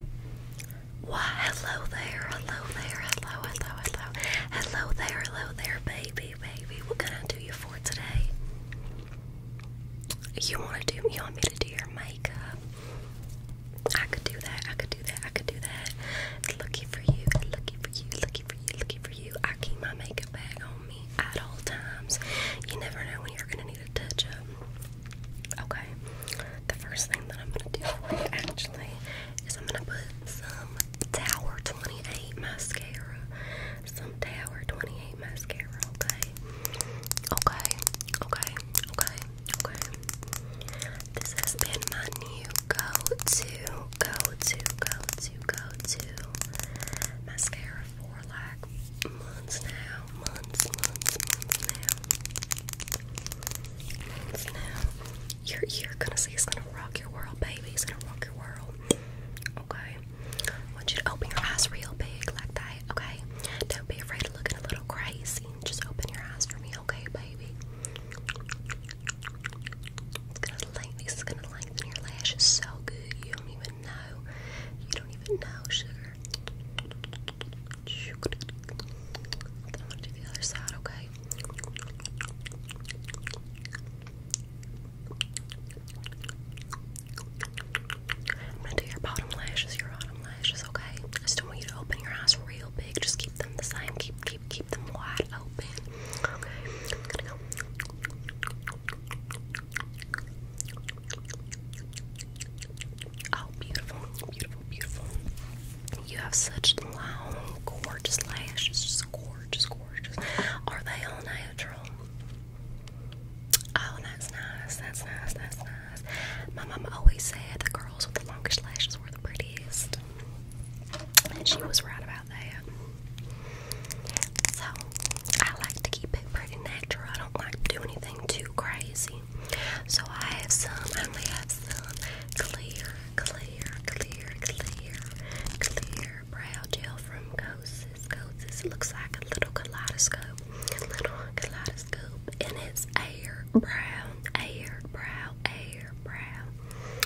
Why, hello there, hello there, hello, hello, hello, hello there, hello there, baby, baby. What can I do you for today? You want to do? You want me to do your makeup? I could do that. I could do that. I could do that. Looking for you. Looking for you. Looking for you. Looking for you. I keep my makeup bag on me at all times. You never know when you're gonna need need a touch up. Okay. The first thing that I'm gonna do for you actually is I'm gonna put some Tower 28 mascara. Some Tower 28 mascara, okay? Okay, okay, okay, okay. This has been my new go-to, go-to, go-to, go-to mascara for like months now now, months, months, months now. Months now. Your ear gonna it's gonna rock your world, baby. It's gonna rock your world. Okay. I want you to open your eyes real big like that, okay? Don't be afraid of looking a little crazy. Just open your eyes for me, okay, baby? It's gonna lengthen it's gonna lengthen your lashes so good you don't even know. You don't even know, sugar. I'm gonna do the other side, okay? I'm gonna do your bottom lashes, your bottom lashes, okay? just don't want you to open your eyes real big. Just keep them the same. Keep, keep, keep them wide open. Oh, beautiful, beautiful, beautiful. You have such long, gorgeous lashes. Just gorgeous, gorgeous. Are they all natural? Oh, that's nice. That's nice. That's nice. My mom always said the girls with the longest lashes were the prettiest. And she was right about that. So, I like to keep it pretty natural. I don't like to do anything too crazy. So I have some, I only have some clear, clear, clear, clear, clear brow gel from Koses. Koses looks like a little kaleidoscope, little kaleidoscope, and it's air brown, air brow, air brow,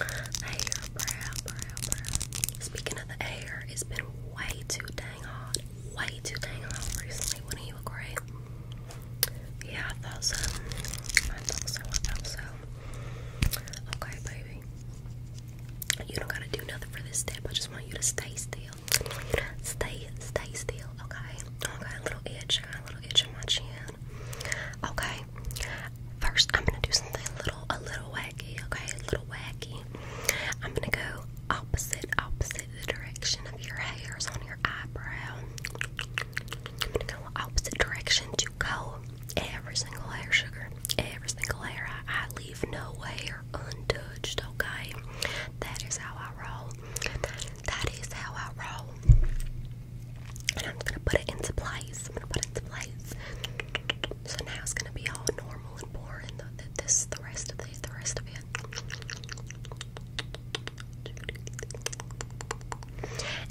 air brow, brow, brow. Speaking of the air, it's been way too dang hot way too dang long recently, wouldn't you agree? Yeah, um, I um, Okay, baby. You don't gotta do nothing for this step. I just want you to stay still. Stay, stay still, okay? I got a little itch, I got a little itch in my chin. Okay. First I'm gonna do something little a little wacky, okay? A little wacky. I'm gonna go opposite, opposite the direction of your hairs on your eyebrow. opposite direction to go every single hair, sugar. Every single hair. I, leave no hair untouched, okay? That is how I roll. That is how I roll. And I'm gonna put it into place. I'm gonna put it into place. So now it's gonna be all normal and boring. this, the rest of these, the rest of it.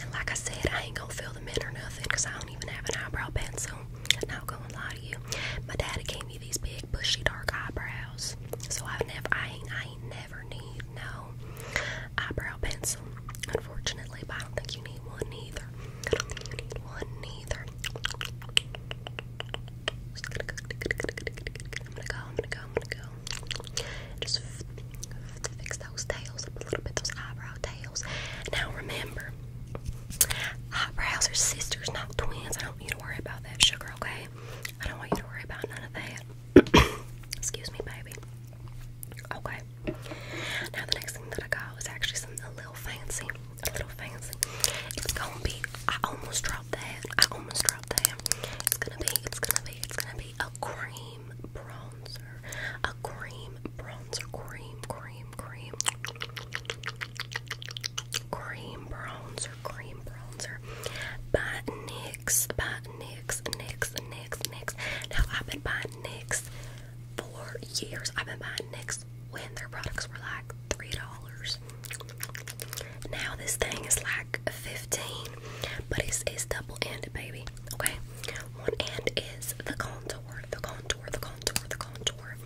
And like I said, I ain't gonna fill them in or nothing I don't even have an eyebrow pencil. Not gonna lie to you. My daddy gave me these big bushy dark eyebrows. So I've never I ain't I ain't never need no eyebrow pencil, unfortunately, but I don't think you need one either. Just gonna go. I'm gonna go. I'm gonna go. I'm gonna go. Just fix those tails up a little bit. Those eyebrow tails. Now remember, eyebrows are sisters, not twins. I don't want you to worry about that, sugar. Okay? I don't want you to worry about none of that. Excuse me, baby. Okay. Now the next thing that I got was actually something a little fancy. A little fancy. It's gonna be. I almost draw that. I almost dropped that. It's gonna be, it's gonna be, it's gonna be a cream bronzer. A cream bronzer. Cream, cream, cream. Cream bronzer. Cream bronzer. By NYX. By NYX. NYX. NYX. NYX. Now, I've been buying NYX for years. I've been buying NYX when their products were like $3, now this thing is like fifteen, but it's it's double ended, baby. Okay, one end is the contour, the contour, the contour, the contour,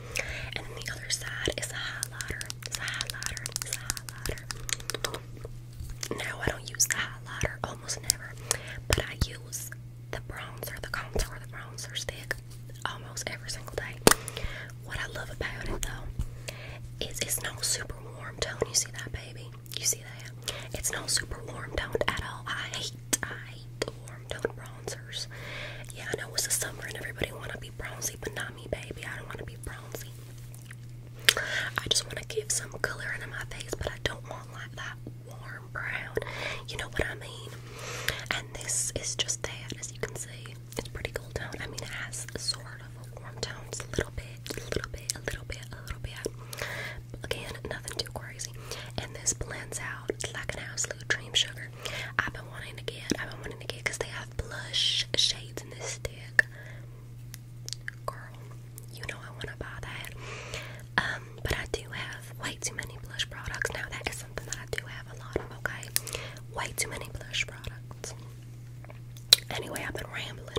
and then the other side is a highlighter. It's a highlighter. It's a highlighter. No, I don't use the highlighter, almost never, but I use the bronzer, the contour, the bronzer stick almost every single day. What I love about it though is it's not super warm tone. You see that, baby? You see that? It's not super warm toned at all. I hate, I hate the warm toned bronzers. Yeah, I know it's the summer and everybody want to be bronzy, but not me, baby. I don't want to be bronzy. I just want to give some color into my face, but I don't want like that warm brown. You know what I mean? And this is just that, as you can see. It's pretty cool tone. I mean, it has sort of a warm tone. It's a little bit, a little bit, a little bit, a little bit. Again, nothing too crazy. And this blends out like an absolute dream sugar. I've been wanting to get, I've been wanting to get, because they have blush shades in this stick. Girl, you know I want to buy that. Um, but I do have way too many blush products now. That is something that I do have a lot of, okay? Way too many blush products. Anyway, I've been rambling.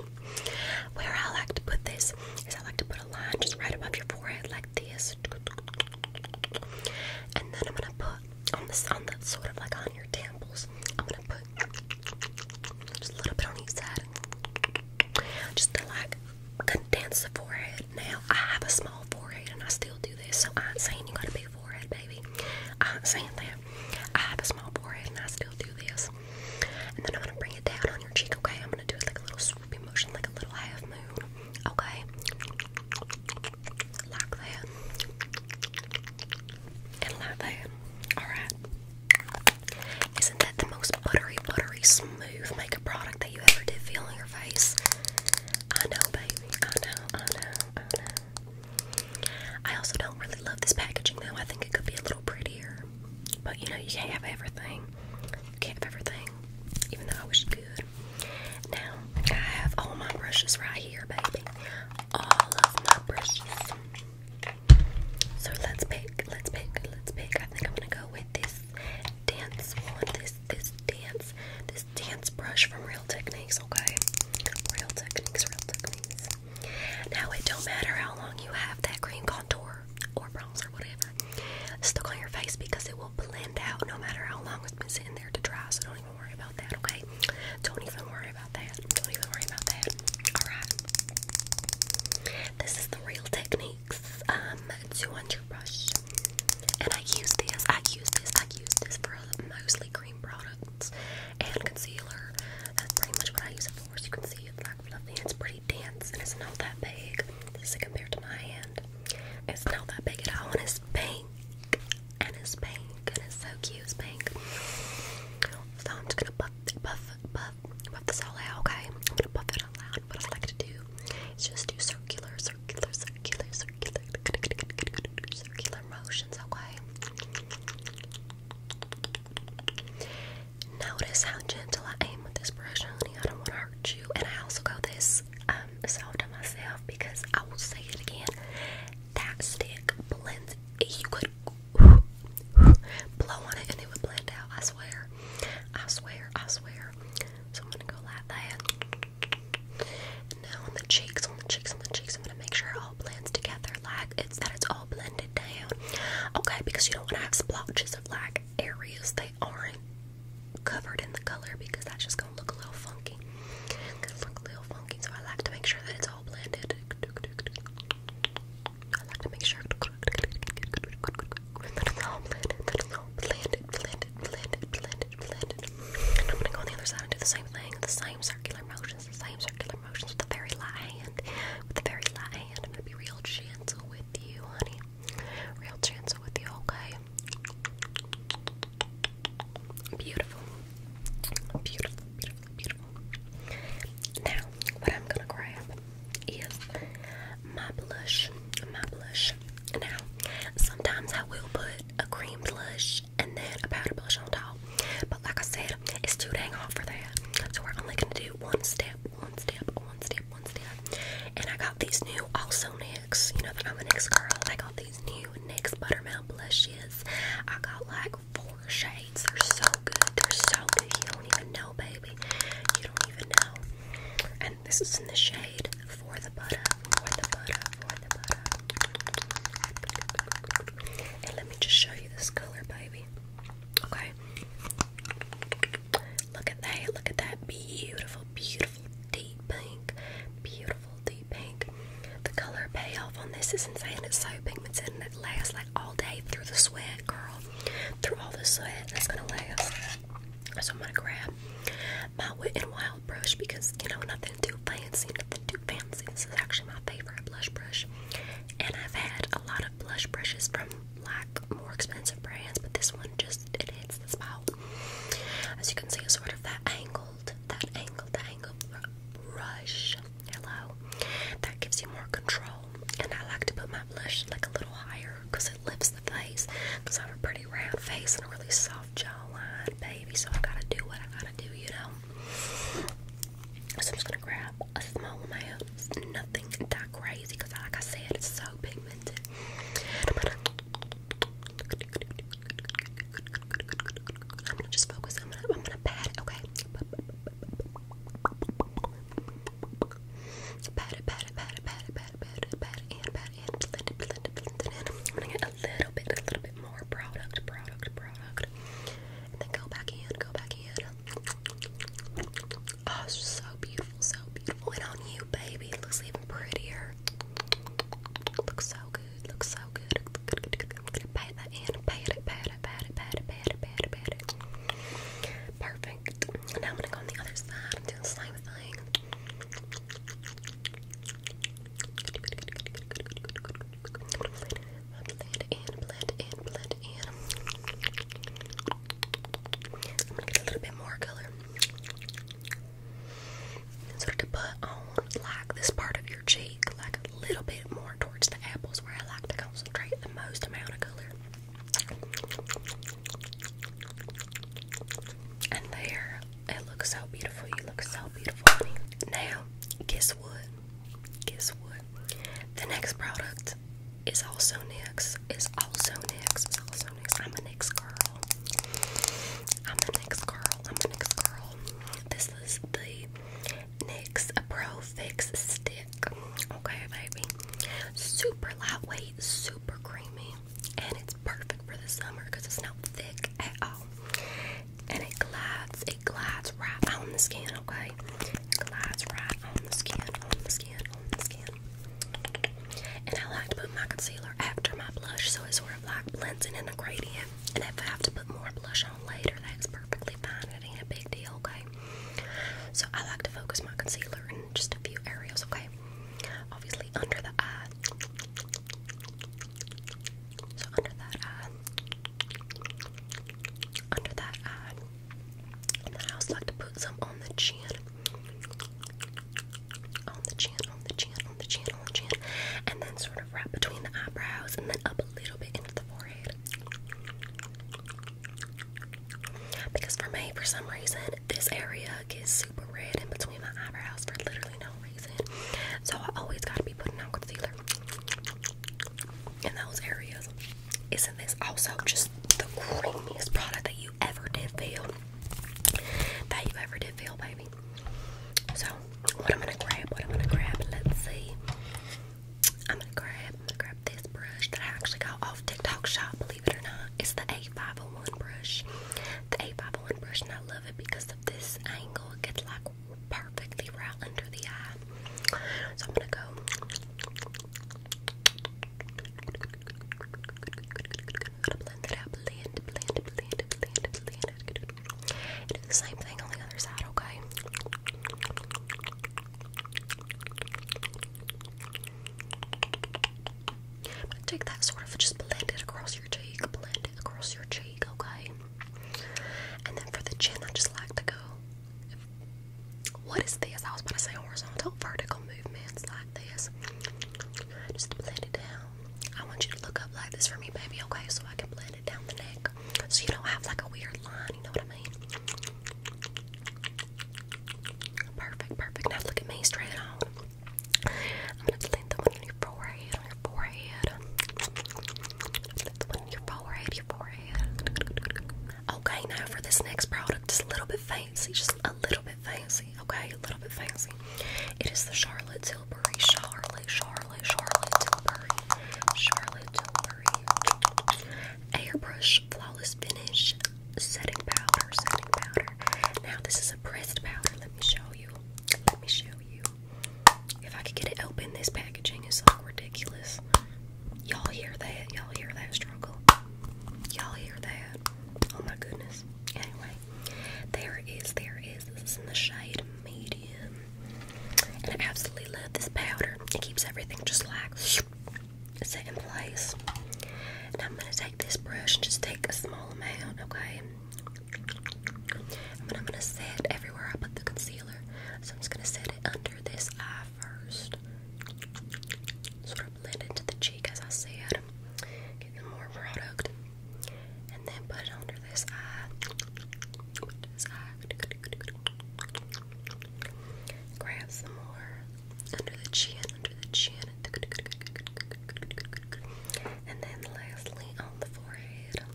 Where I like to put this is I like to put a line just right above your forehead like this. And then I'm gonna put on the sun that's sort of like on your temples. I'm gonna put just a little bit on each side. Just to like condense the forehead. Now I have a small forehead and I still do this, so I am saying you gotta be forehead, baby. Uh, I that. I have a small forehead and I still do this. And then I'm gonna bring it down on your cheek, okay? I'm gonna do it like a little swoopy motion, like a little half moon, okay? Like that. And like that. Alright. Isn't that the most buttery, buttery, smooth makeup product that you ever did feel on your face? I know, baby. I know, I know, I know. I also don't really love this packaging though. I think it could be a little prettier. But you know, you can't have everything. You can't have everything. Even though I wish you could. Now, I have all my brushes right here, baby. All of my brushes. So let's pick, let's pick, let's pick. I think I'm gonna go with this dance one, this this dance, this dance brush from Real Techniques, okay? Real Techniques, Real Techniques. Now it don't matter how long you have that cream contour or bronzer, whatever, stuck on your face because it will blend out no matter how long it's been sitting there to dry. So don't even worry about that, okay? Don't even worry about that. Don't even worry about that. All right. This is the Real Techniques um, 200 brush. And I use this, I use this, I use this for mostly cream products and concealer. That's pretty much what I use it for. As you can see, it's like fluffy. It's pretty dense and it's not that big. This compared to my hand. It's not that big at all, and it's pink. And it's pink, and it's so cute. It's pink. So I'm just gonna buff, buff, buff, buff this all out. Okay, I'm gonna buff it out loud. What I like to do is just do circulars circular, circular, circular, motions, okay? Notice how gentle I am with this brush, honey. I don't want to hurt you. And I also got this um, soft on myself because I will say it again. That stick blends. You could blow on it and it would blend out. I swear. I swear. I swear. So I'm gonna go like that. And now on the cheeks, on the cheeks, on the cheeks, I'm gonna make sure all blends together, like it's that it's all blended down. Okay, because you don't wanna have splotches of like areas They aren't covered in the color because that's just gonna look a little funky. It's look a little funky, so I like to make sure that it's all blended. I like to make sure it's all blended, blended, blended, I'm gonna go on the other side and do the same thing, the same circular motions, the same circular motions with the very light hand. With the very light hand, I'm gonna be real gentle with you, honey. Real gentle with you, okay? Beautiful, beautiful, beautiful. Now, what I'm gonna grab is my blush. My blush. Now, sometimes I will put a cream blush and then a powder blush on top. But like I said, it's too dang hot for that. So we're only gonna do one step, one step, one step, one step. And I got these new also NYX. You know that I'm a NYX girl. I got these new NYX buttermilk blushes. I got like four shades. They're so good. They're so good. You don't even know, baby. You don't even know this is in the shade for the butter, let me just show you this color, baby. Okay. Look at that, look at that beautiful, beautiful deep pink. Beautiful deep pink. The color payoff on this is insane. It's so pigmented it lasts like all day through the sweat, girl. Through all the sweat, that's gonna last. So I'm gonna grab my Wet and Wild brush because you know nothing too fancy, nothing too fancy. This is actually my favorite blush brush, and I've had a lot of blush brushes from like more expensive brands, but this one just it hits the spot. As you can see, it's sort of that angled, that angled, that angled brush. Hello, that gives you more control, and I like to put my blush like a little higher because it lifts the face because I am a pretty round face and a really soft jawline, baby. So I gotta do what I gotta do, you know. So I'm just gonna grab a small amount, nothing that crazy, like I said, it's so pigmented. I'm gonna, just focus. I'm gonna, I'm gonna pat it, okay? pat it, pat it, pat it, pat it, I'm gonna get a little bit, a little bit more product, product, product. And then go back in, go back in. Oh, it's just so beautiful, so beautiful. And on you, baby, looks even prettier. Looks so good, looks so good. I'm gonna pat that in, pat it, pat it, pat it, pat it, pat it, pat it, Perfect. Now I'm gonna go on the other side and do the same thing. I'm gonna get a little bit more color. And to put on like this part of your cheek, like a little bit more towards the apples where I like to concentrate the most amount of color. And there, it looks so beautiful. You look so beautiful, Now, guess what? Guess what? The next product is also NYX. Is also NYX. I'm a NYX girl. I'm a NYX girl. I'm a NYX girl. This is the NYX Pro Fix Stick. Okay, baby. Super lightweight, super creamy and it's perfect for the summer because it's not thick at all. And it glides, it glides right on the skin, okay? glides right on the skin, on the skin, on the skin. And I like to put my concealer after my blush, so it sort of like blends in in a gradient. And if I have to put more blush on later, that's perfectly fine. It ain't a big deal, okay? So I like to focus my concealer just a few areas, okay? Obviously, under the under that Under that then I like to put some on the chin. On the chin, on the chin, on the chin, on the chin. And then sort of right between the eyebrows and then up a little bit into the forehead. Because for me, for some reason, this area gets super red in between my eyebrows for literally no reason. So I always gotta be putting on concealer in those areas. Isn't this also just the creamiest product that you ever did feel? That you ever did feel, baby. So what I'm gonna grab, what I'm gonna grab, let's see. I'm gonna grab, I'm gonna grab this brush that I actually got off TikTok shop, believe it or not. It's the A501. 501 brush. The 851 brush, and I love it because of this angle. It gets like perfectly right under the eye. So I'm gonna go. gonna blend it out. Blend, blend, blend, blend, blend. And do the same thing on the other side, okay? I'm gonna take that sort of just blend it across your cheek, blend it across your cheek, okay? And then for the chin, I just like to go. What is this? I was about to say horizontal, vertical movements like this. Just blend it down. I want you to look up like this for me, baby, okay? So I can blend it down the neck. So you don't have like a weird line, you know what I mean? Perfect, perfect. Now look at me straight on. I'm gonna blend the one on your forehead, on your forehead. Blend the one on your forehead, your forehead. Okay, now for this next product, just a little bit fancy, just a little bit fancy, okay? A little bit fancy. It is the Charlotte Tilbury, Charlotte, Charlotte, Charlotte Tilbury, Charlotte Tilbury. Airbrush Flawless Finish setting powder, setting powder. Now this is a pressed powder. Let me show you. Let me show you. If I could get it open, this packaging is so ridiculous. Y'all hear that? Y'all hear that struggle? Y'all hear that? Oh my goodness. Anyway, there it is. There it is. This is in the shade medium. And I absolutely love this powder. It keeps everything just like set place. And I'm going to take this brush and just take a small amount, okay? And then I'm going to set everywhere I put the concealer. So I'm just going to set it under this eye first. Sort of blend into the cheek, as I said. Get the more product. And then put it under this eye. Grab some more under the chin, under the chin. And then lastly on the forehead. On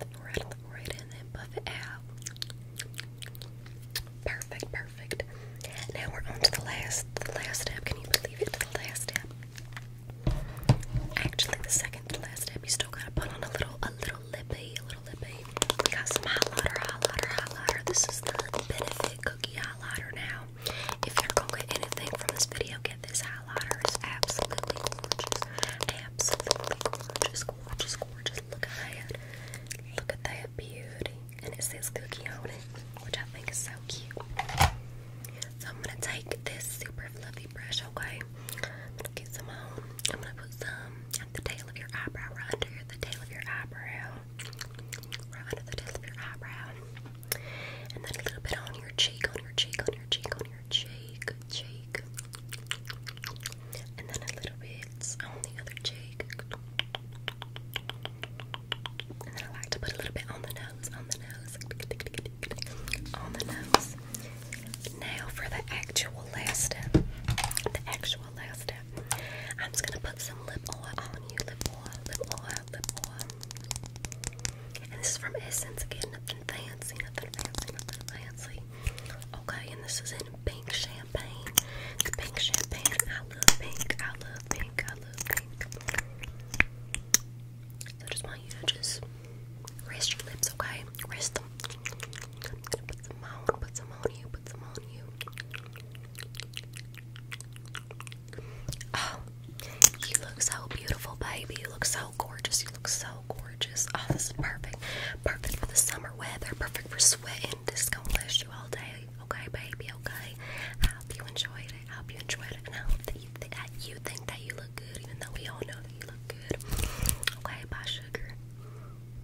the forehead, on the forehead, and then buff it out. Perfect, perfect. Now we're on the last the last step. Can you believe it? The last step. Actually the second last step you still gotta put on a little a little lippy, we got some highlighter, highlighter, highlighter. This is the Benefit Cookie Highlighter now. If you're gonna get anything from this video, get this highlighter. It's absolutely gorgeous. Absolutely gorgeous, gorgeous, gorgeous. Look at that. Look at that beauty. And it says cookie on it, which I think is so cute. So I'm gonna take this super fluffy brush, okay? I'm gonna get some on. Um, I'm gonna put some at the tail of your eyebrow, right under the tail of your eyebrow right under the tip of your eyebrow, and then a little bit on your cheek, on your cheek, on your cheek, on your cheek, cheek, and then a little bit on the other cheek, and then I like to put a little bit on the nose, on the nose, on the nose. Now for the actual last step, the actual one last step. I'm just gonna put some lip oil on you. Lip oil, lip oil, lip oil. And this is from Essence again. Nothing fancy, nothing fancy, nothing fancy. Okay, and this is in pink champagne. It's pink champagne. I love pink. I love pink. I love pink. So I just want you to just rest your lips, okay? Rest them. I'm gonna put some on, put some on you, put some on you. Oh, you look so beautiful, baby. You look so gorgeous. You look so gorgeous. Oh, this is perfect. Perfect for the summer weather. Perfect for sweating. This is gonna last you all day. Okay, baby. Okay. I hope you enjoyed it. I hope you enjoyed it, and I hope that you think that you look good, even though we all know that you look good. Okay, bye, sugar.